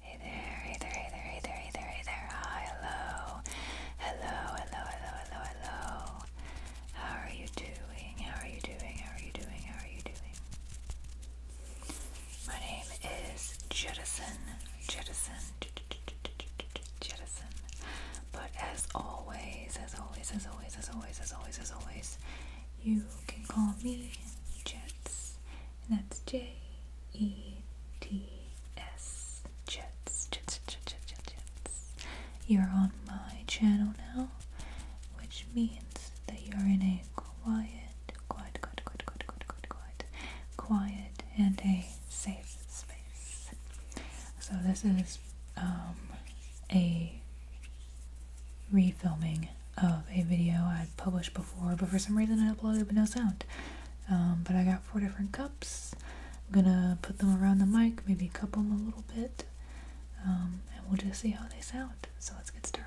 Hey there, hey there, hey there, hey there, hey there, hey there. Hi, hello. Hello, hello, hello, hello, hello. How are you doing? How are you doing? How are you doing? How are you doing? My name is Jettison, Jettison, Jettison. But as always, as always, as always, as always, as always, as always, you can call me Jets. And that's J E T S. Jets, Jets, Jets, Jets, Jets, Jets. You're on my channel now, which means that you're in a quiet, quiet, quiet, quiet, quiet, quiet, quiet, quiet, quiet and a safe space. So this is um, a refilming of a video i published before, but for some reason I uploaded with no sound. Um, but I got four different cups. I'm gonna put them around the mic, maybe cup them a little bit, um, and we'll just see how they sound. So let's get started.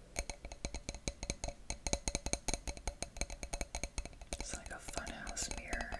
It's like a funhouse mirror.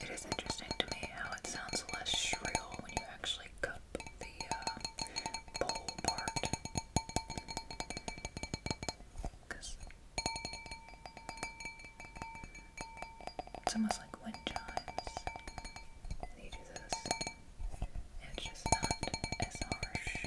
It is interesting to me how it sounds less shrill when you actually cup the uh, bowl part. Because it's almost like wind chimes. You do this, and it's just not as harsh.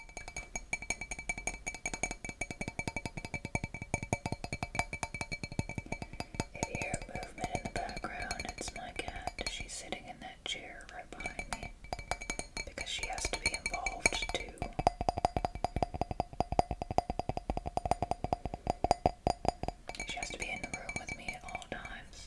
If you hear movement in the background, it's my cat. She's sitting in that chair right behind me because she has to be involved too. She has to be in the room with me at all times.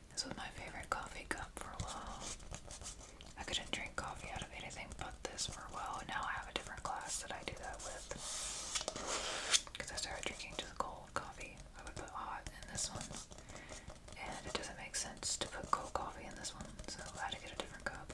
This was my favorite coffee cup for a while. I couldn't drink coffee out of anything but this for a while. Now I have a different glass that I do that with. Because I started drinking just cold coffee. I would put hot in this one. And it doesn't make sense to put cold coffee in this one, so I had to get a different cup.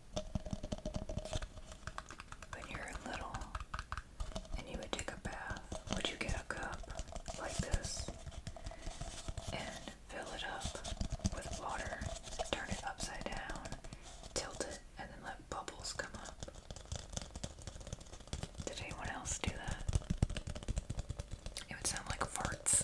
When you're little and you would take a bath, would you get a cup like this and fill it up with water, turn it upside down, tilt it, and then let bubbles come up? Did anyone else do that? It would sound like farts.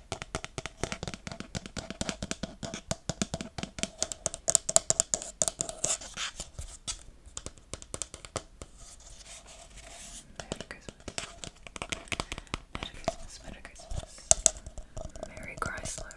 Christmas, Merry Christmas. Merry Chrysler. Merry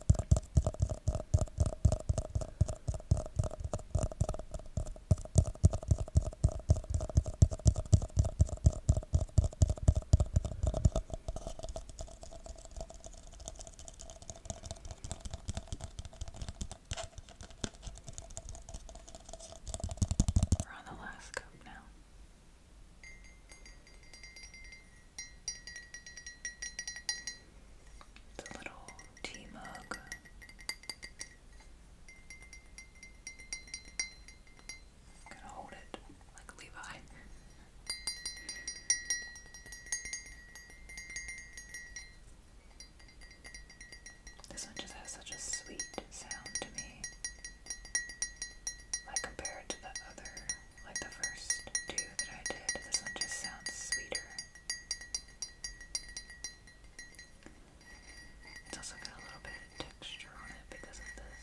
We're on the last cup now. The little tea mug. I'm gonna hold it like Levi. This one just has such a sweet sound to me. Like compared to the other like the first two that I did. This one just sounds sweeter. It's also got a little bit of texture on it because of this.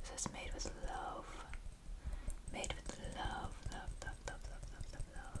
This is made with love. Made with love, love, love, love, love, love, love,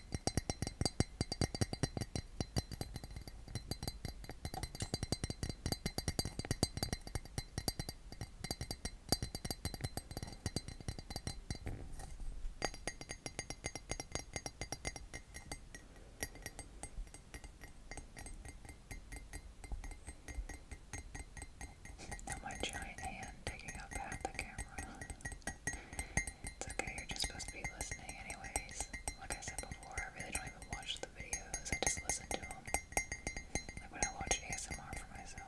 Now my giant hand picking up half the camera. It's okay, you're just supposed to be listening anyways. Like I said before, I really don't even watch the videos, I just listen to them. Like when I watch ASMR for myself.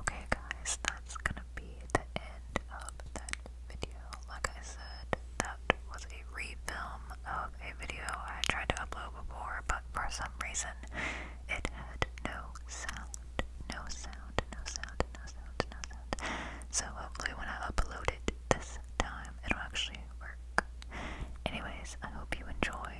Okay, guys, that's gonna be the end of that video. Like I said, that was a refilm of a video I tried to upload before, but for some reason it had no sound. No sound, no sound, no sound, no sound. So hopefully, when I upload it this time, it'll actually work. Anyways, I hope you enjoy